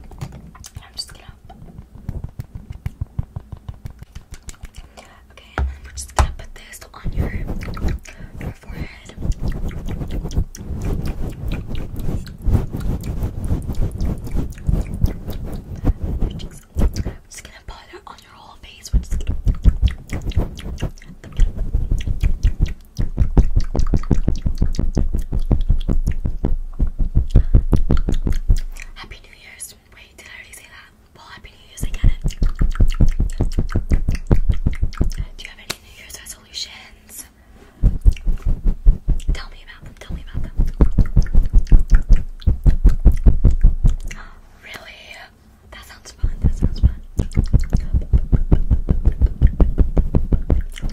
I'm just gonna. Okay, we're just gonna put this on your your forehead. We're just gonna put it on your whole face. Happy New Year's. Wait, did I already say that? Well, Happy New Year's, I get it. Do you have any New Year's resolutions? Tell me about them, tell me about them. Really? That sounds fun, that sounds fun.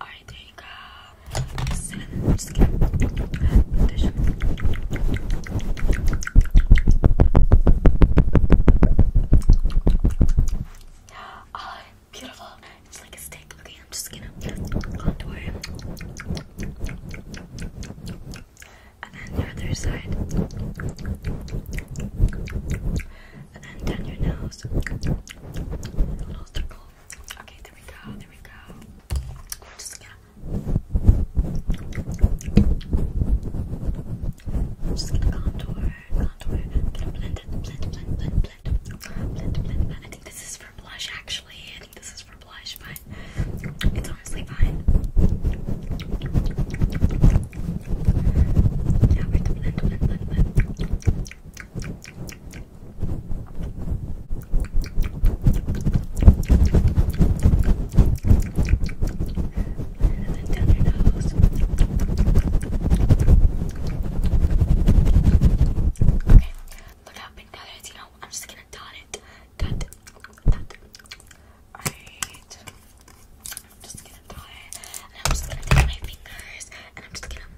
I take a skin skin conditioner. Oh, beautiful. It's like a stick. Okay, I'm just gonna contour and then the other side and down your nose. Okay, there we go, there we go. just gonna just gonna contour, contour, gonna blend it, blend, blend, blend, blend, blend, blend. I think this is for blush actually. I think this is for blush, but it's honestly fine. Ja, blend, blend, blend, blend. And then down your nose. Okay, look how big that is. You know, I'm just gonna dot it. Dot, dot. Alright. I'm just gonna dot it, and I'm just gonna take my fingers, and I'm just gonna.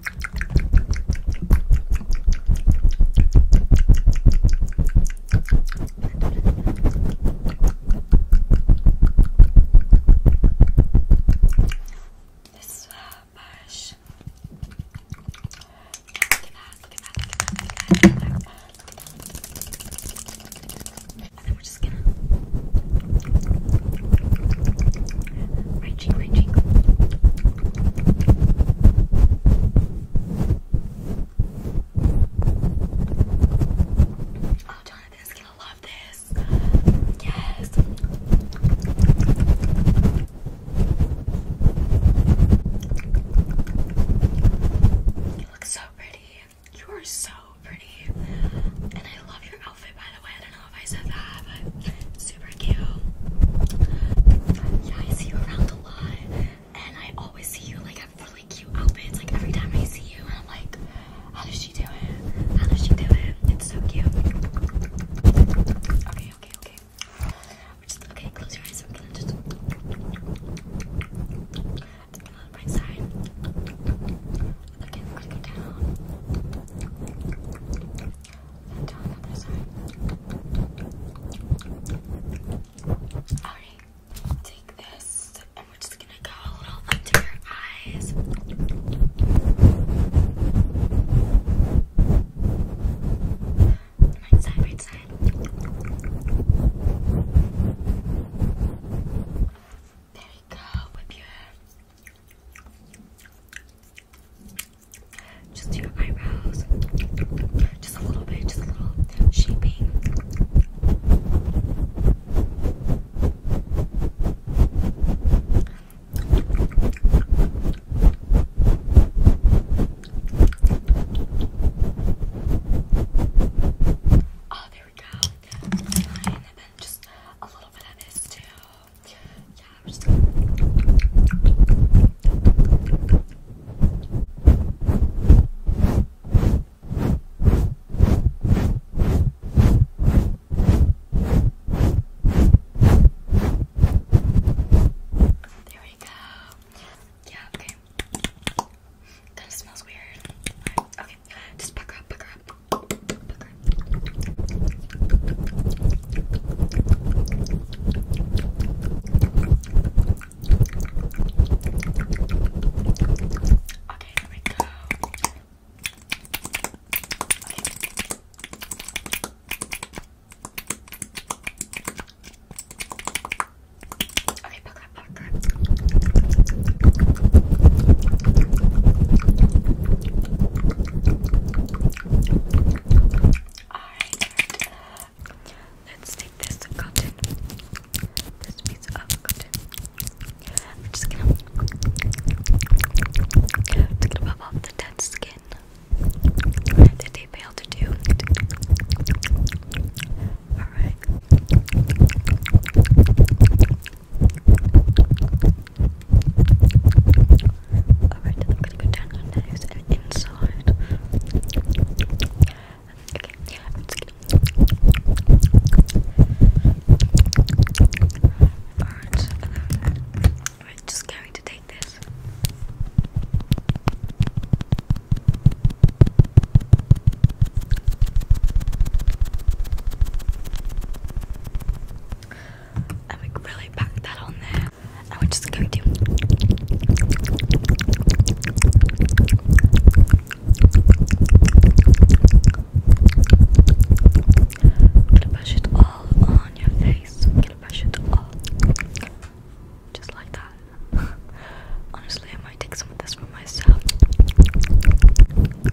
This uh, brush. Look at that! Look at that! Look at that! Look at that! Look at that! Look at that! Look at that! i then we're just oh, gonna love this. Yes. You look so pretty. You are so pretty. And I love your outfit, by the way. I don't know if I said that, but super cute. Yeah, I see you around a lot, and I always see you like have really cute outfits. Like every time I see you, and I'm like, how does she do it? How does she do it? It's so cute. Okay, okay, okay. okay. Close your eyes. I'm gonna just. right side. Look look down. down the other side. Alright, take this, and we're just gonna go a little under your eyes. Right side, right side. There you go. Whip your just your eyebrows. Just a little bit, just a little shaping. Oh, there we go. And then just a little bit of this too yeah, there we go. Yeah, okay. Kind smells weird. Okay just pucker up, pucker up, pucker up. Okay, Okay, pucker up, pucker up. Alright, let's take this cotton, this piece of cotton. I'm just gonna, it's gonna pop off the dead skin that they failed to do. Alright. Alright, I'm gonna go down your nose and inside. Okay, yeah, I'm Alright, just going to take this and we really pack that on there and we're just going to gonna brush it all on your face brush it all just like that honestly I might take some of this for myself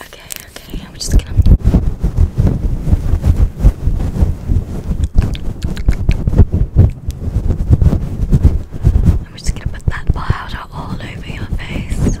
Okay, okay, I'm just gonna. I'm just gonna put that powder all over your face.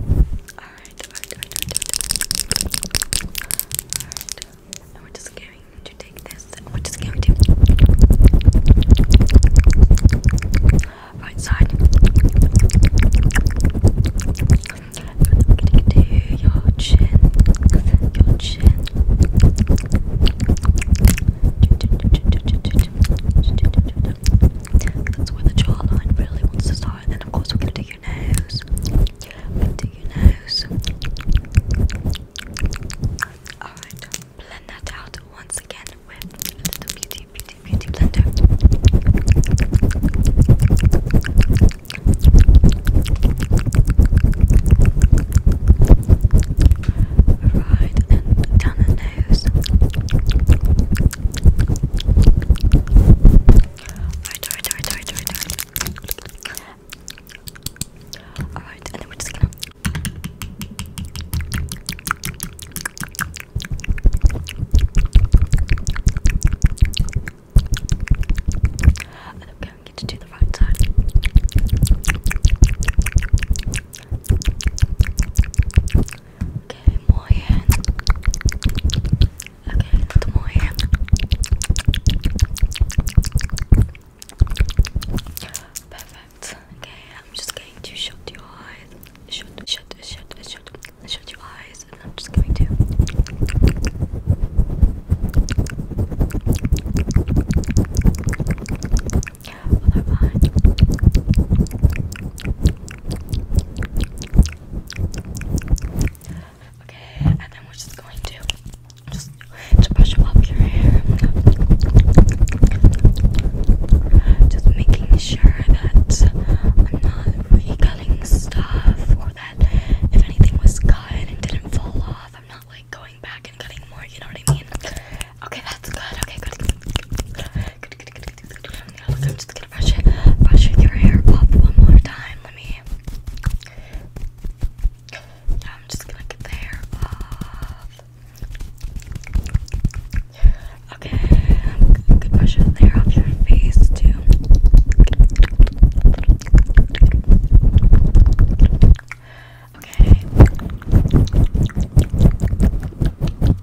Alright, we're just going to take this. We're just going to right side. I'm to your Your chin that's where the jawline really wants to start. And of course, we're going to do your nose. Do your nose. Alright, blend that out once again with a beauty, beauty, beauty blender. Alright, and down Alright, alright, alright, alright, alright, alright. and then we're just gonna. And I'm going to do the right side. Okay, more hair. Okay, more hair. Perfect. Okay, I'm just going to shut your eyes. Shut, shut, shut, shut, shut your eyes, and I'm just going to. Okay, and then we're just going to just to brush up your hair. Just making sure that I'm not re stuff or that if anything was cut and it didn't fall off, I'm not like going back and cutting more, you know what I mean? Okay, that's good. Okay, good. I'm just gonna brush it, brush your hair up one more time. Let me. I'm just gonna get the hair off. Okay, Good. am going brush the hair off your face too. Okay.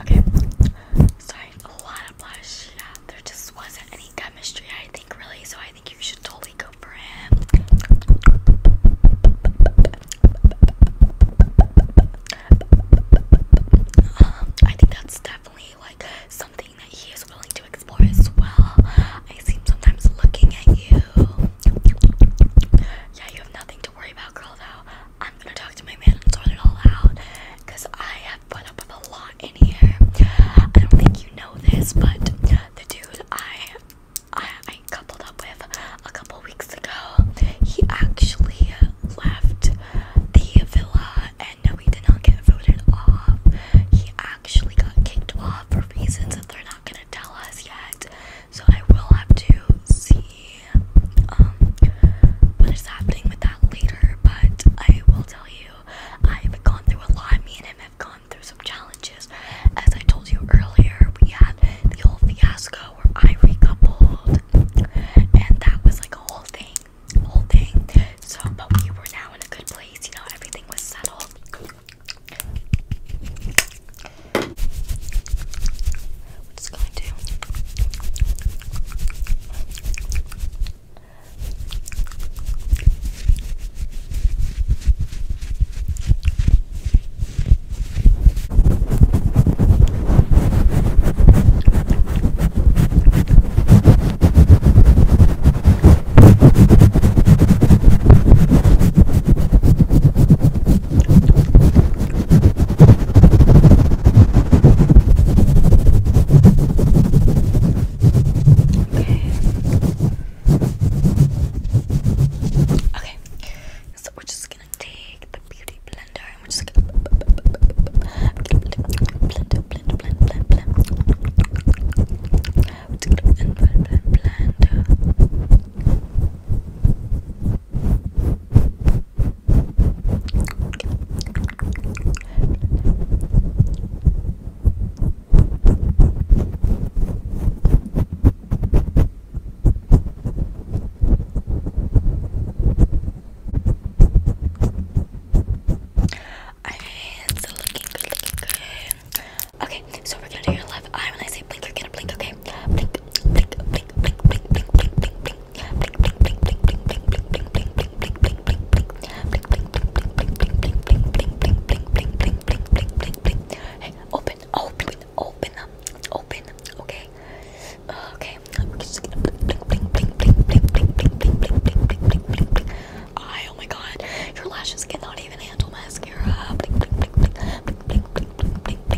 Okay, sorry, a lot of blush. Yeah, there just wasn't any chemistry, I think, really. So I think you should totally go for him. Um, I think that's definitely like something that he is willing to explore as well. I see sometimes looking at you. Yeah, you have nothing to worry about, girl. Though I'm gonna talk to my man and sort it all out because I have put up with a lot in here. I don't think you know this, but the dude I I, I coupled up with a couple weeks ago, he actually left the villa and no, he did not get voted off. He actually got kicked off for reasons that they're not gonna tell us yet. So I will have to see um what is happening with that later, but I will tell you I've gone through a lot. Me and him have gone through some challenges. As I told you earlier, we had the whole fiasco where I recoupled and that was like a whole thing. Whole thing. So but we were now in a good place, you know, everything was settled. It's going to Okay. So we're just gonna take the beauty blender and we're just gonna blend, blend, blend, blend, blend, blend. We're just blend, blend, blend, blend. It's looking good, looking good. Okay, so we're gonna do your left eye when I say blink, you're gonna blink, okay? Hey, open, open, open up, open, okay? Okay. I, oh my god, your lashes cannot even handle mascara. Blink, blink, blink, blink, blink, blink, blink, blink, blink,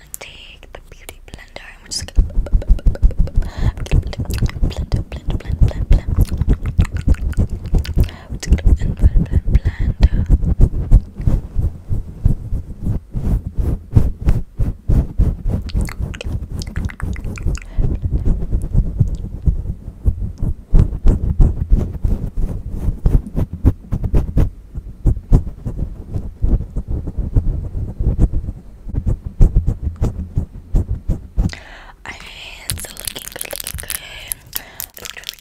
gonna take the beauty blender and we're just gonna blend, blend, blend, blend, blend, blend. We're just gonna blend, blend, blend, blend. Our hands are looking good, looking good. Look really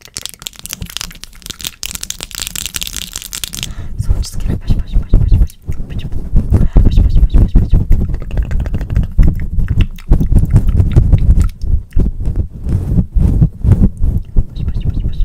good. So I'm just gonna push, push, push, push, push, push, push, push, push, push, push. Push, push, push, push.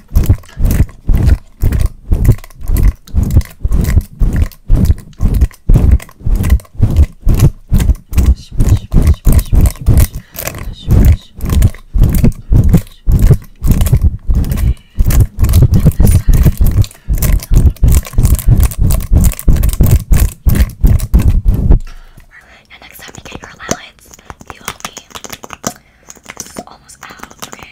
And next time you get your allowance, you owe me. This is almost out, okay?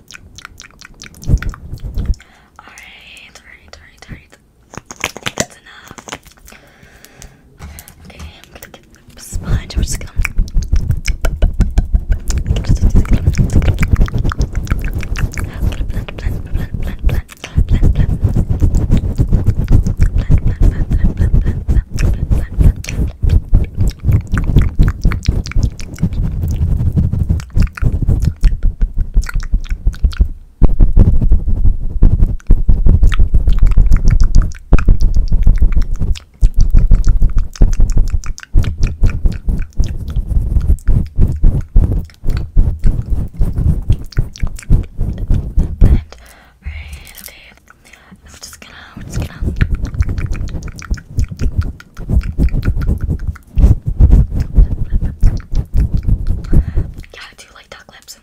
Alright, alright, Okay, I'm gonna get the sponge. We're just gonna. Alright, okay. I'm just gonna, we're just gonna yeah, do like duck lips?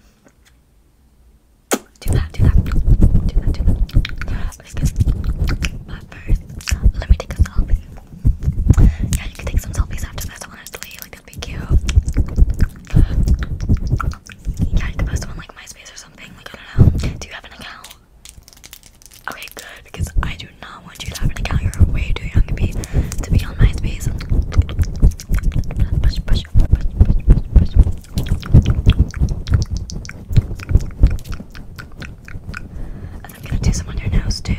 Do that, do that, do that, do that. But first, let me take a selfie. Yeah, you can take some selfies after this, honestly. Like, that'd be cute. Yeah, you could post them like MySpace or something. Like, I don't know. Do you have an account? Okay, good, because I do not want you to have an account. You're way too young to to be on MySpace. Push, I'm gonna do some on your nose too.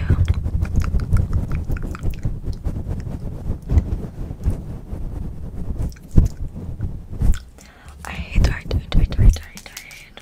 I hate tired, tired,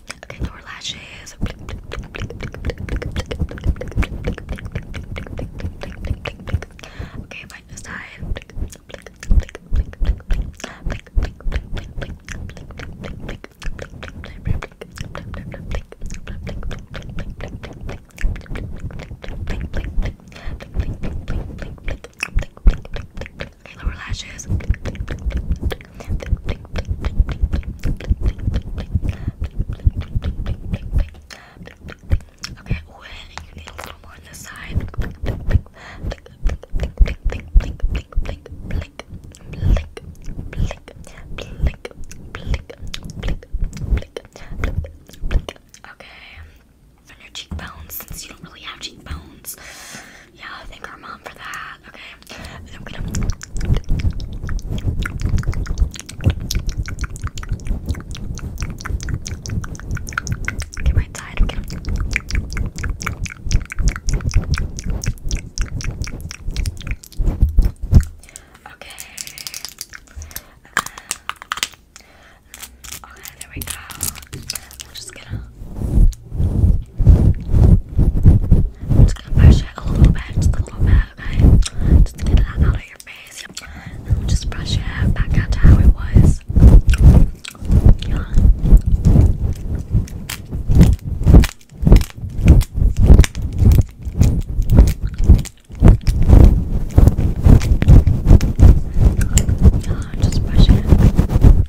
Okay, lower lashes. Okay, right this side. Okay, lower lashes. Okay, ooh, you need a little more on this side. Okay, on your cheekbones, since you don't really have cheekbones, yeah, thank our mom for that. Okay. get right side. Okay. Um, okay, there we go. I'm just gonna just gonna brush it a little bit, just a little bit, okay? Just get that out of your face. just brush it back out to how it was. Yeah, just brush it.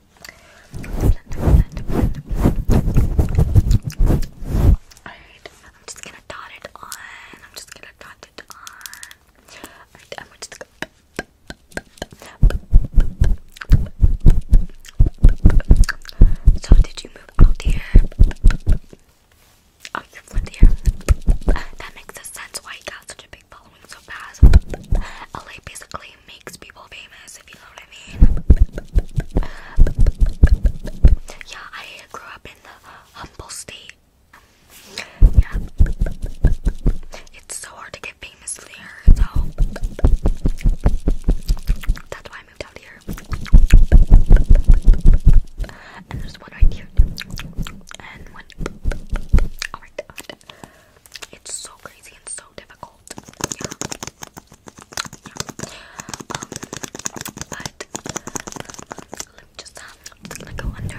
Alright, I'm just gonna dot it on. I'm just gonna dot it on. Alright, I'm just gonna. So, did you move out here? Oh, here. That makes sense why you got such a big following so fast. LA basically makes people famous, if you know what I mean. Yeah, I grew up in the humble state. Yeah. It's so hard to get famous there, so that's why I moved out here. And there's one right here. And one. Alright, oh it's so crazy and so difficult cold. Yeah. Yeah. Um, but let me just um, it's gonna go under.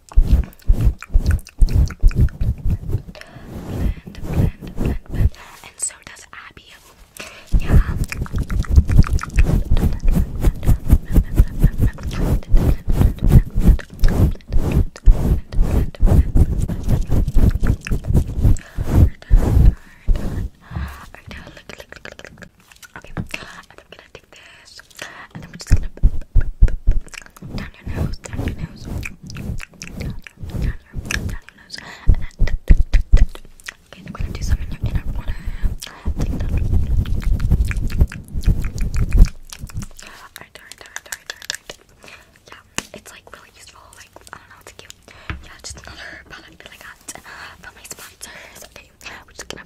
and so does Abby. Yeah. Okay, and I'm gonna take this, and I'm just gonna down your nose, down your nose, down your, down your, down your nose, and then okay, I'm gonna do some in your inner corner. Alright, alright, alright, alright, alright. Yeah, it's like really useful. Like I don't know, it's cute. Yeah, just another product that I got from my sponsors. Okay, we're just gonna.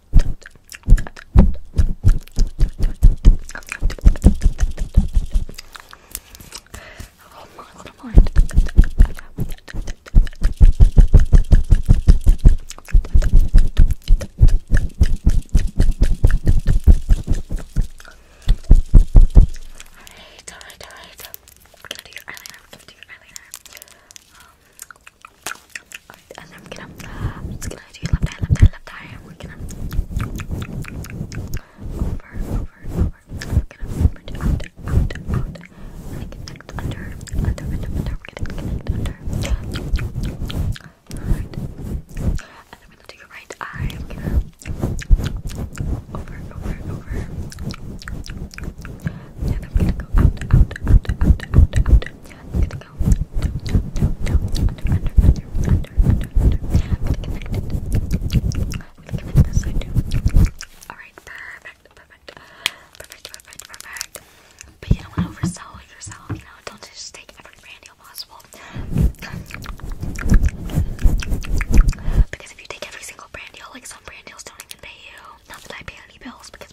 Hold on, hold on. Alright, alright, alright. I'm gonna do your eyeliner. I'm gonna do your eyeliner. Um, Alright, and I'm gonna, I'm just gonna do left eye, left eye, left eye, we're gonna over, over, over. We're gonna over to out, out, out, and connect under, under, under, under. We're gonna connect under. Alright, and I'm gonna do your right eye. over, over, over, and I'm gonna go out, out, out, out, out, out. i i Alright, perfect, perfect, perfect, perfect, perfect. But you don't want to oversell yourself, you know, don't just take every brand deal possible. Because if you take every single brand deal, like some brand deals don't even pay you. Not that I pay any bills because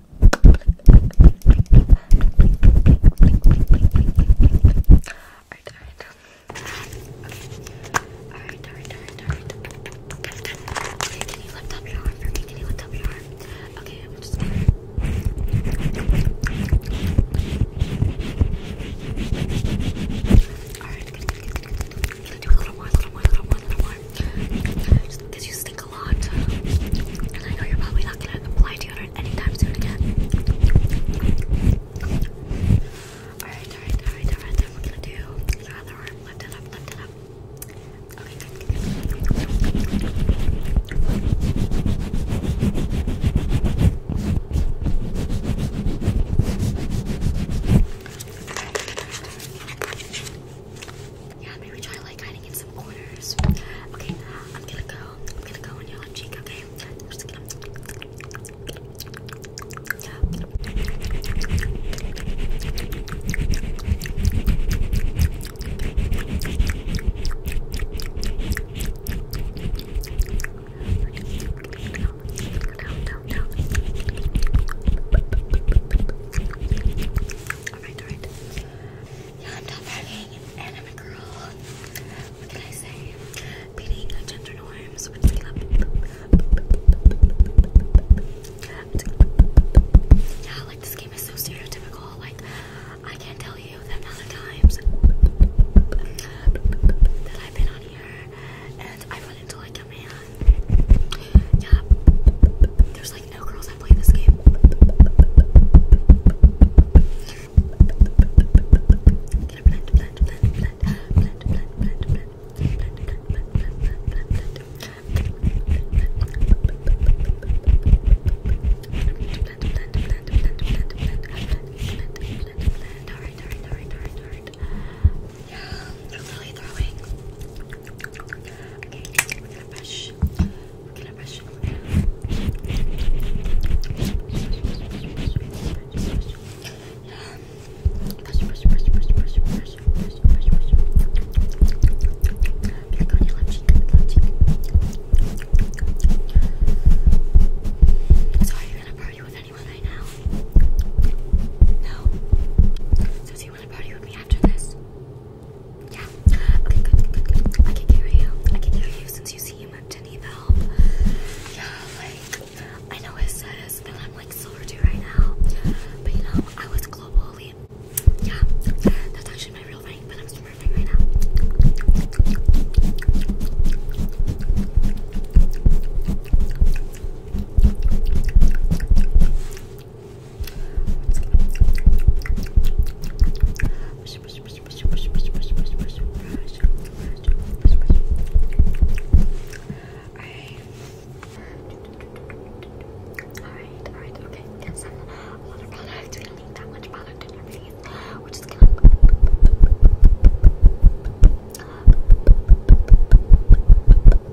Alright, alright. Okay. Alright, alright, alright, alright. Can you lift up your arm for me? Can you lift up your arm? Okay, I'm just gonna Alright, good, good, good, good, good. Can I do a little more, a little more, a little more, a little more? Just because you stink and I know you're probably not gonna apply deodorant anytime soon again. Alright, alright, alright, alright, then we're gonna do the other lift it up, lift it up. Okay, yeah, maybe try like hiding in some corners. Okay, I'm gonna go. I'm gonna go on your left okay? Alright, alright. Yeah, I'm not fighting and I'm a girl. What can I say? Beating gender norms Yeah, like this game is so stereotypical. Like, I can't tell you the amount of times that I've been on here and I run into like a man yeah. There's like no girls that play this game. Get a blend, blend, blend, blend, blend, blend, blend, blend. Alright, alright, alright, alright, alright. Yeah, I'm really throwing Okay, we're gonna Push. We're gonna Push. over now. Brush, brush, brush, brush, brush, brush, brush, brush, brush. Click on your left cheek, left cheek. So are you gonna party with anyone right now? No? So do you wanna party with me after this? Yeah. Okay, good, good, good, I can carry you. I can carry you since you seem to need help. Yeah, like, I know it says that I'm like silver two right now, but you know, I was global elite. Yeah, that's actually my real rank, but I'm super rank right now. Alright, alright, okay. There's some, a lot of product. We don't need that much product in your face. We're just gonna.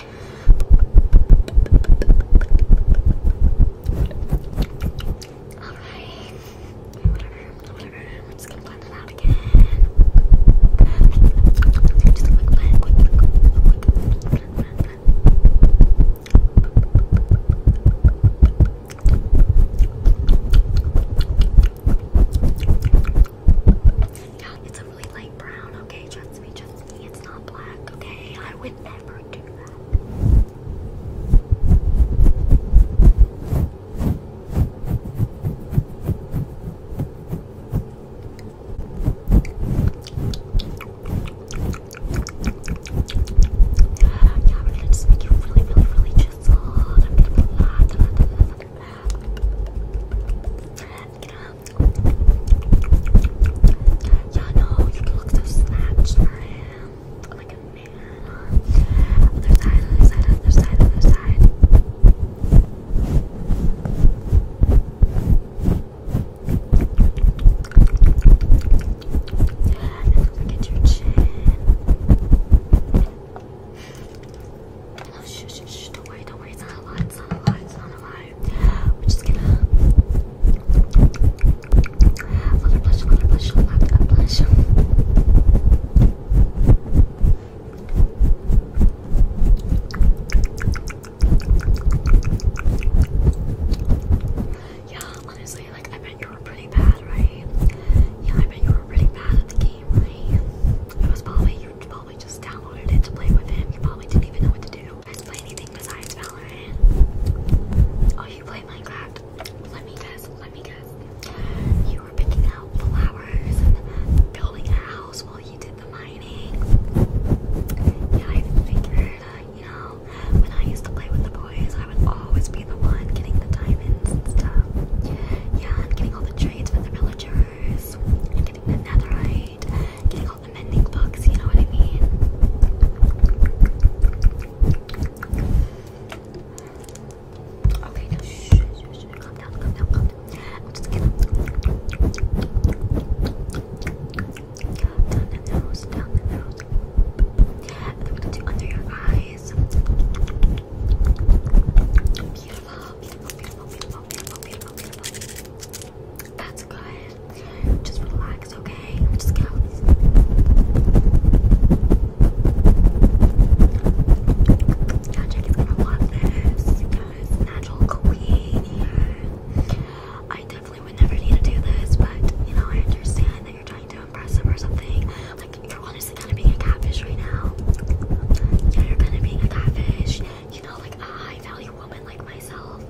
Alright. Whatever, whatever. I'm just gonna blend it out again. Just a quick blend, quick, quick, quick, quick blend, blend, blend. Yeah, it's a really light brown, okay? Trust me, trust me. It's not black, okay? I would never do that. Yeah, we're gonna just make you really, really, really chiseled. I'm gonna be loud. Get up. Yeah, no, you can look so snatched or him, like a man. other side, other side, other side, other side. look at your chin. shh, shh, shh, don't worry, don't worry, it's not a lie, it's not a lie, it's not a lie we're just gonna Yeah, honestly, like I bet you were pretty bad, right? Yeah, I bet you were pretty bad at the game, right? It was probably you probably just downloaded it to play with him. You probably didn't even know what to do. Let's play anything besides Valorant. Oh, you play Minecraft? Let me guess, let me guess. You were picking out flowers and building a house while you did the mining. Yeah, I figured, uh, you know, when I used to play with the boys, I would always be the one getting the diamonds and stuff. Yeah, I'm getting all the trades for the villagers. I'm getting the netherite great. Getting all the mending books, you know what I mean? Okay, now shh, shh, shh, shh. calm down, calm down, calm down. I'm just gonna down the nose, down the nose. And then we're gonna do under your eyes. Beautiful, beautiful, beautiful, beautiful, beautiful, beautiful, beautiful. That's good. Just relax, okay? Just go. Yeah, Jackie's gonna love this. Yes, natural queen. I definitely would never need to do this, but you know, I understand that you're trying to impress him or something. Like, you're honestly kind of being a catfish right now. you're kind of being a catfish. You know, like a high value woman like myself.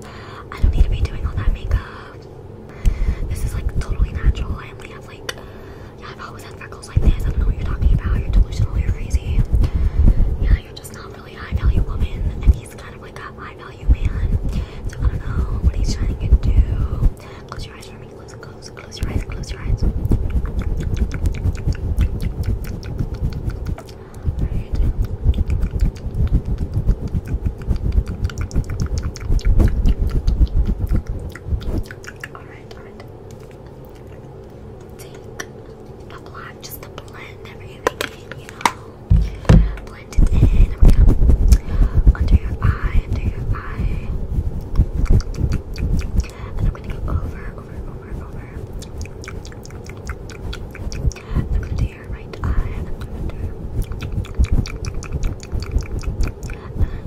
I don't need to be doing all that makeup. This is like totally natural. I only have like, yeah, I've always had freckles like this. I don't know what you're talking about. You're delusional. You're crazy. Yeah, you're just not really a high value woman. And he's kind of like a high value man. So I don't know what he's trying to do. Close your eyes for me. Close, close, close your eyes. Close your eyes. Alright, alright. Take a block just to blend everything in, you know. Blend it in. I'm gonna under your eye, under your eye. And I'm gonna go over, over, over, over. Look into right eye and then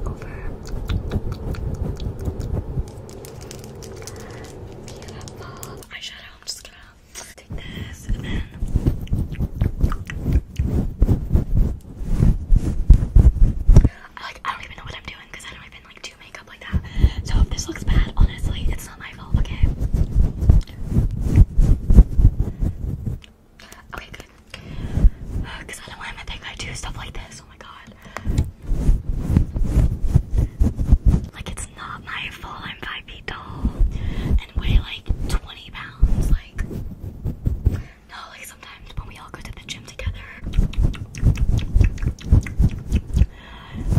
over. I'm just gonna take this and then. I like I don't even know what I'm doing because I don't even like do makeup like that. So if this looks bad, honestly, it's it's not my fault, okay? Okay, good. Because uh, I don't want to think I do stuff like this. Oh my god. Like, it's not my fault. I'm 5 feet tall and weigh like 20 pounds. Like, no, like sometimes when we all go to the gym together,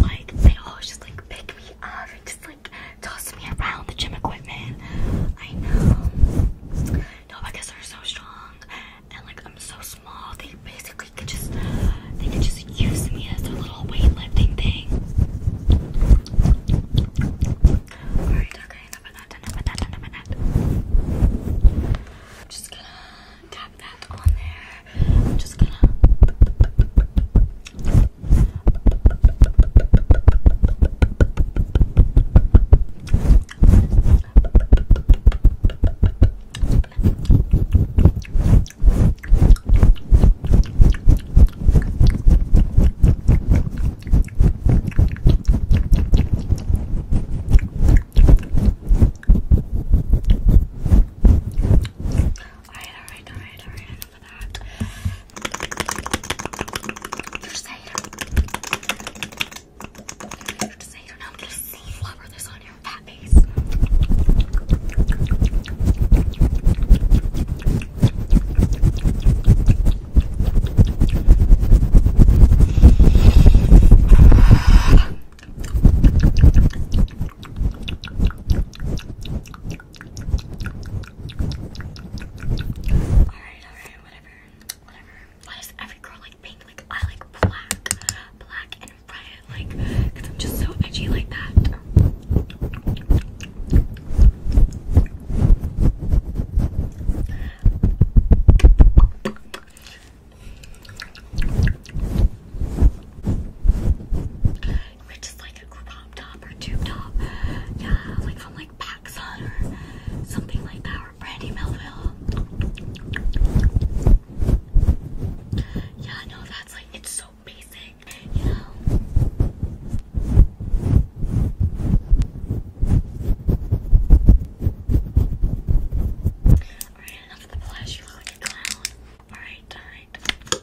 like, they always just like pick me up and just like Toss me around the gym equipment. I know. No, I guess they're so strong, and like I'm so small. They basically could just they could just use me as their little weightlifting thing. Alright, okay, enough of that, enough of that, I'm just gonna tap that on there. I'm just gonna Alright, alright, alright, alright for that. There's Seder. There's Seder. Now I'm gonna flubber this on your fat face. Alright, alright, whatever. Whatever. Why is every girl like pink? Like I like black. Black and red. Like, I'm just so edgy like that which is like a crop top or tube top. Yeah, like from like Paxson or something like that, or Brandy Melville. Yeah, no, that's like it's so basic, you know. Alright, enough of the blush, you look like a clown. Alright, alright.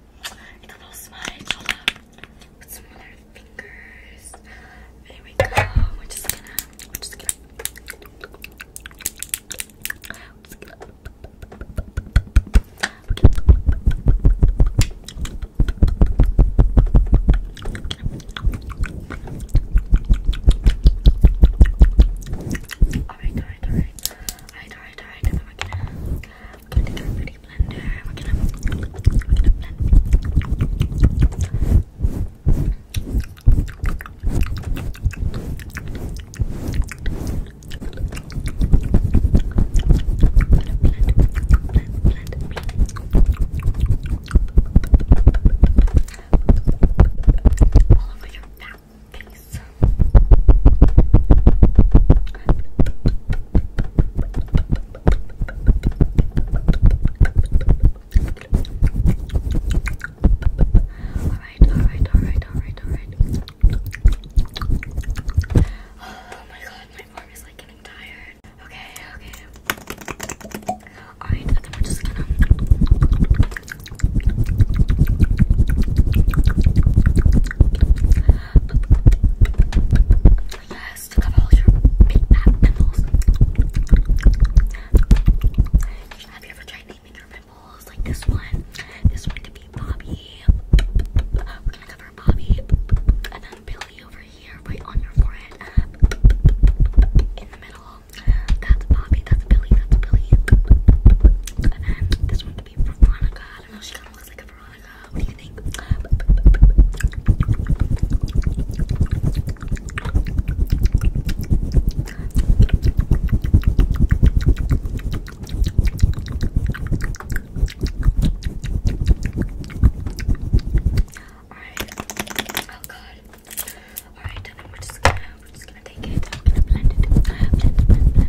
It's a little smudge. Put some on our fingers. There we go. We're just gonna. We're just gonna. We're just gonna. Alright, alright, alright. Alright, alright, alright. Then we're blender, pretty blender. We're gonna, we're gonna blend, blend, blend, blend, blend all over your back. Peace. Alright, alright, alright, alright, alright. Oh my god, my arm is like getting tired. Okay, okay. Alright, then we're just gonna. Yes, to cover all your big pimples. Have you ever tried naming pimples like this one? This one could be Bobby. We're gonna cover Bobby, and then Billy over here, right on your forehead, in the middle. That's Bobby. That's Billy. That's Billy. And then this one could be Veronica. I don't know, she kind of looks like a Veronica. What do you think? Alright. Oh god. Alright, then we're just gonna we're just gonna take it. I'm gonna blend it.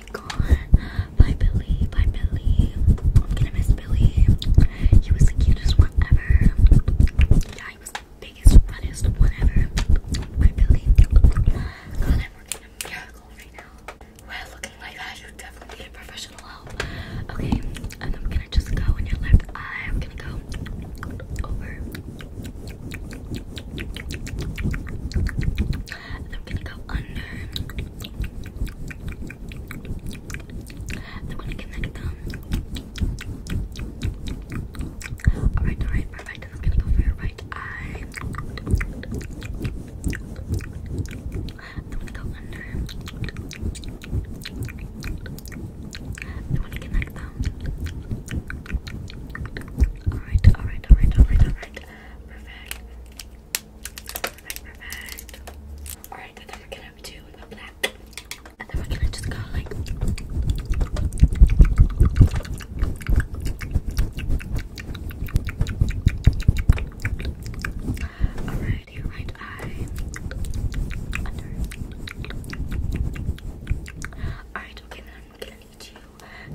be Billy. Bye, Billy. I'm gonna miss Billy. He was the cutest one ever. Yeah, he was the biggest, funnest one ever. Bye, Billy. God, I'm working a miracle right now. Well, looking like that, you definitely a professional Okay, and I'm gonna just go in your left eye. I'm gonna go over. I'm gonna go under. I'm gonna connect them. Alright, alright, perfect. And i gonna go for your right eye. I'm gonna go under. I'm gonna connect them. Alright, alright, alright, alright, alright. Perfect. Perfect, perfect. Alright, then we're gonna do the black. And then we're gonna just go like Alright, your right eye. Under. Alright, okay, then need you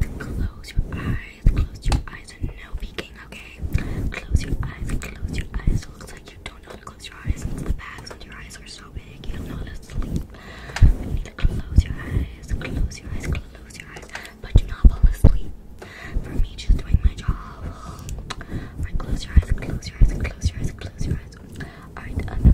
to close your eyes, close your eyes, and no peeking, okay? Close your eyes, close your eyes. It looks like you don't know how to close your eyes. The bags under your eyes are so big, you don't know how to sleep. You need to close your eyes, close your eyes, close your eyes, but do not fall asleep. For me, just doing my job. Alright, close your eyes, close your eyes, close your eyes, close your eyes. Alright, um,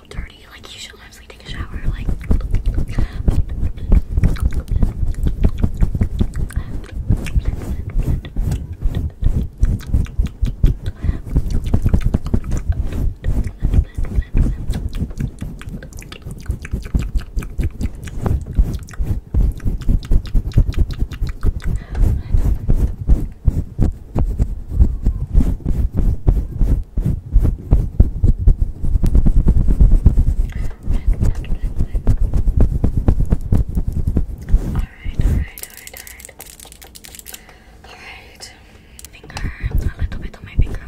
so dirty. Like you should honestly take a shower. Like Alright, alright, alright, alright. Alright. Finger, a little bit on my finger.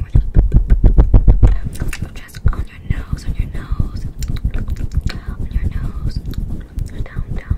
Just on your nose, on your nose. On your nose. Down, down.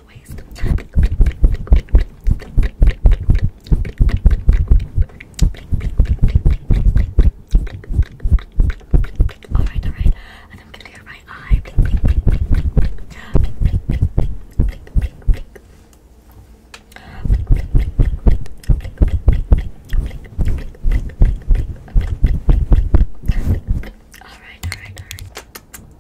to waste. Alright, alright. I'm gonna do my eye. Alright, alright, alright.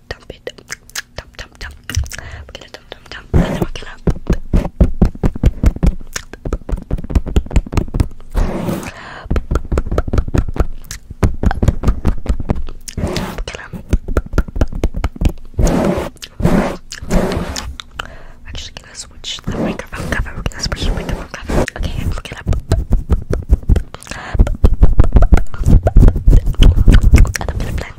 like dump it, dump, dump, dump. We're gonna dump, dump, dump, and then we're gonna. We're actually gonna switch the microphone cover. We're gonna switch the microphone cover. Okay, and we're gonna. And I'm gonna just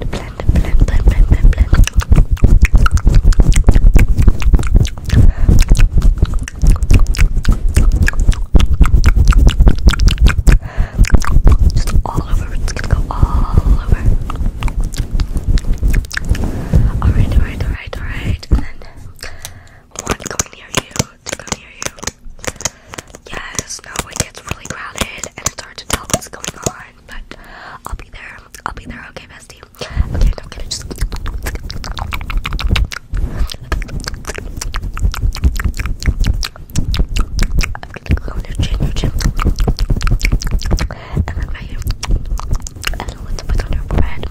all over. It's go all over. Alright, alright, alright, alright. And then one going near you, two go near you. Yes, no, it gets really crowded and it's hard to tell what's going on but I'll be there. I'll be there. Okay, bestie. Okay, I'm gonna just. I'm gonna go on your chin, and then right here, and a little bit on your forehead,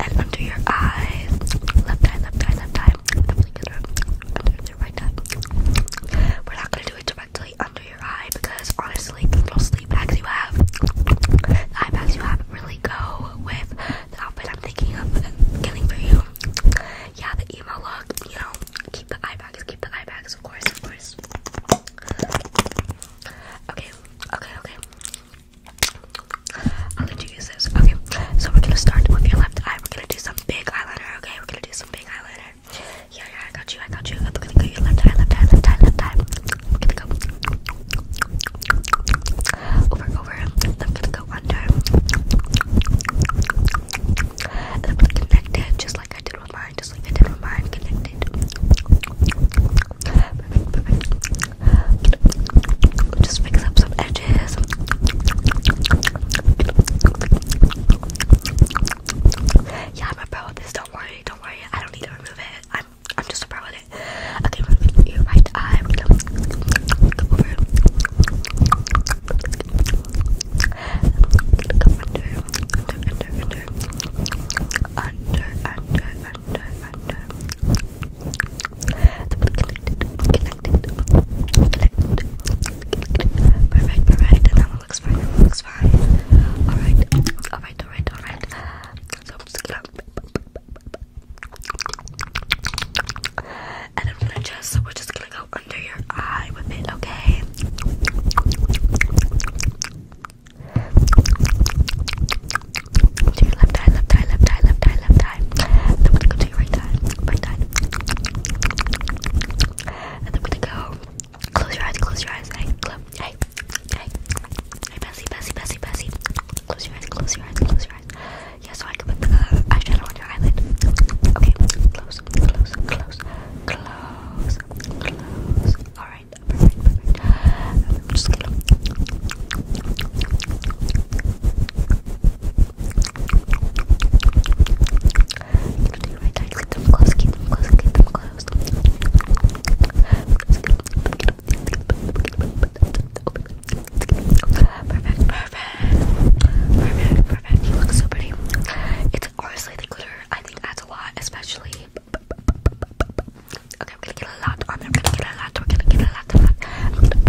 and under your eyes. Left eye, left eye, left eye. Definitely under, under your right eye. We're not gonna do it to under your eye because honestly, the little sleep bags you have, the eye bags you have, really go with the outfit I'm thinking of getting for you. Yeah, the emo look, you know, keep the eye bags, keep the eye bags, of course, of course. Okay, okay, okay. I'll let you use this. Okay, so we're gonna start with your left eye. We're gonna do some big eyeliner, okay? We're gonna do some big eyeliner there. Yeah, yeah, I got you, I got you. I'm gonna go your left eye, left eye, left eye, left eye. I'm gonna go over, over. I'm gonna go under. And I'm gonna connect it just like I did with mine, just like I did with mine. Connect it. Perfect, perfect. Just fix up some edges. Yeah, I'm a pro at this. Don't worry, don't worry. I don't need to remove it. I'm I'm just a pro at it. Okay, your right eye. We're gonna go over. Go under, under, under, under, under, under, under, under. Connected, connected, connected. Perfect, perfect. And then all looks fine, all looks fine. Alright, alright, alright, alright. So I'm just And I'm gonna just, so we're just gonna go under your eye with it, okay? To your left eye, left eye, left eye, left eye, left eye. then we're gonna go to your right eye, right eye. And then we're gonna go Close your eyes, close your eyes. Hey, close. Hey, hey, hey, Bessie, Bessie, Bessie, Bessie. Close your eyes, close your eyes, close your eyes. Yeah, so I can put the eyeshadow on your eyelid. Okay, close, close, close, close, close. All right, perfect, perfect. I'm just gonna you Perfect, perfect. Perfect, perfect. You look so pretty. It's honestly the glitter, I think, adds a lot, especially. Okay, we gonna get a lot on there. gonna get a lot. We're gonna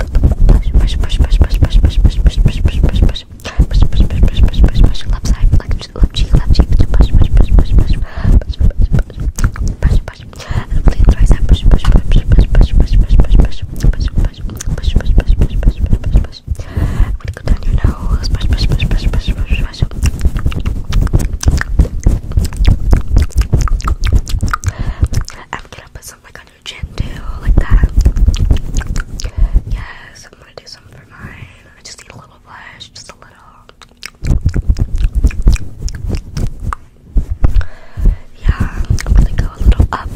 get a lot push, push, push, push, push, push, push, push, left side, left cheek, left cheek, push, push, push, push, push, push, push, push, and please right side, push, push, push, push, push, push, push, push, push, push, push, push, push, push, push, push, push, push, push, I'm gonna go down your nose, push, push, push, push, push, push, push, I'm gonna put something like on your chin too, like that. Yes, I'm gonna do something for mine. I just need a little blush, just a little. Yeah, I'm gonna go a little up,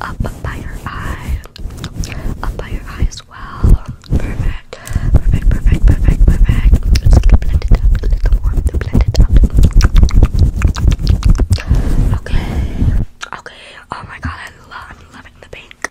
up by your eye, up by your eye as well. Perfect, perfect, perfect, perfect, perfect. Just gonna blend it up a little more, blend up. Okay, okay. Oh my god, love, I'm loving the pink.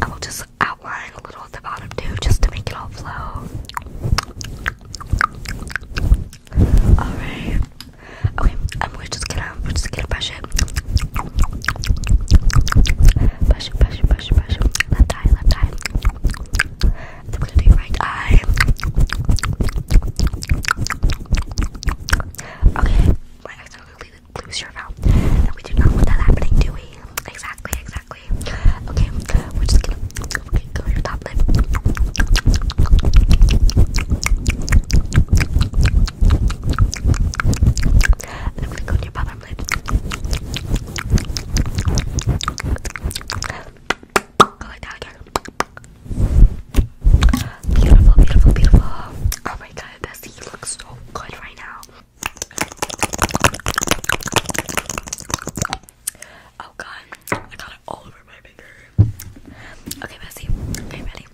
I will just outline a little at the bottom too, just to make it all flow. Alright. Okay, um, we're just gonna we're just gonna brush it. Brush it, brush it, brush it, brush it. Left eye, left eye. Then we're gonna do right eye. Okay, my accent absolutely lose your vow. And we do not want that happening, do we? Exactly, exactly. Okay, we're just gonna okay, go your top lip. And i go to your bottom lip. Go like that Beautiful, beautiful, beautiful. Oh my god, Bessie, you look so good right now. Oh god, I got it all over my finger. Okay, Bessie, are ready?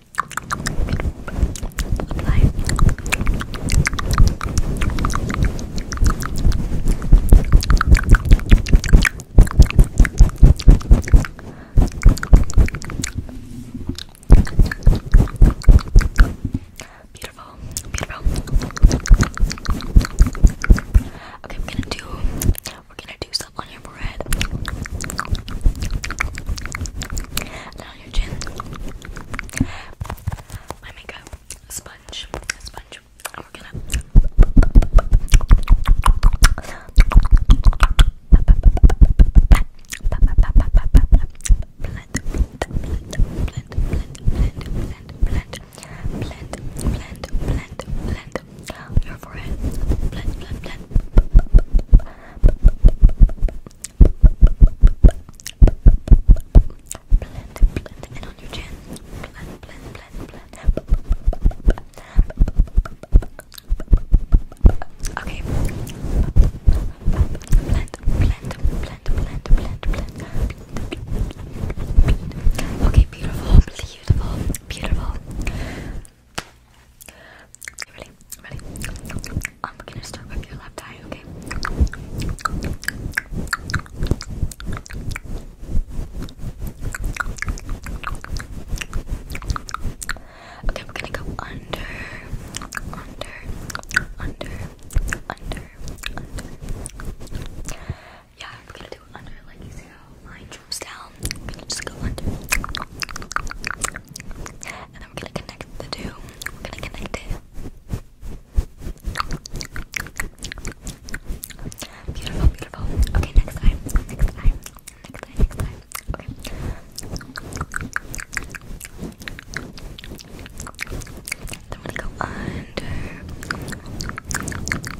Beautiful, beautiful. Okay, I'm gonna do we're gonna do stuff on your forehead. And on your chin. My makeup sponge. Sponge. And we're gonna blend your forehead. Blend, blend, blend. Blend, blend, and on your chin. Blend, blend, blend, blend. Blend, blend, blend, blend. Okay. Blend, blend, blend, blend, blend, blend. Okay, beautiful, beautiful, beautiful. Ready? Ready? I'm gonna start with your left eye, okay? Okay, we're gonna go under, under, under, under, under. Yeah, we're gonna do under, like you see how mine droops down. We're gonna just go under. And then we're gonna connect the two. We're gonna connect it. Beautiful, beautiful. Okay, next time. Next time. I'm gonna go under,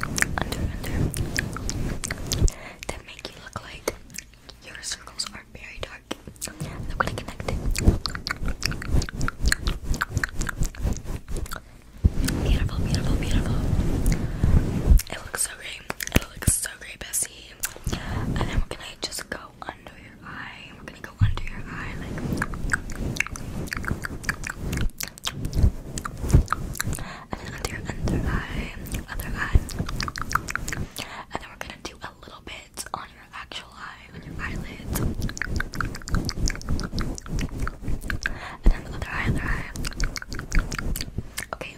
under, under. That make you look like your circles are very dark. I'm gonna connect it. Beautiful, beautiful, beautiful. It looks so great. It looks so great, Bessie and then we're gonna just go under your eye. We're gonna go under your eye like under your under eye, other eye. And then we're gonna do a little bit on your actual eye, on your eyelids. And then other eye, other eye. Okay,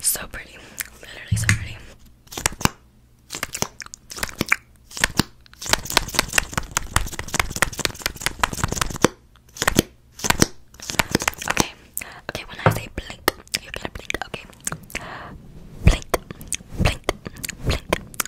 So pretty. Literally so pretty. Okay. Okay, when I say blink, you're to blink, okay. Blink, blink, blink,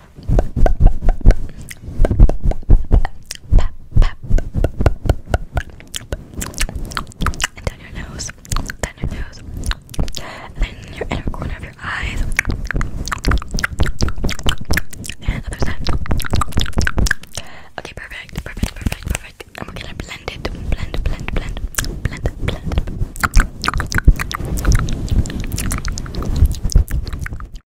And down your nose, down your nose, and then your inner corner of your eyes, and other side. Okay, perfect, perfect, perfect, perfect. And we're gonna blend it, blend, blend, blend, blend, blend.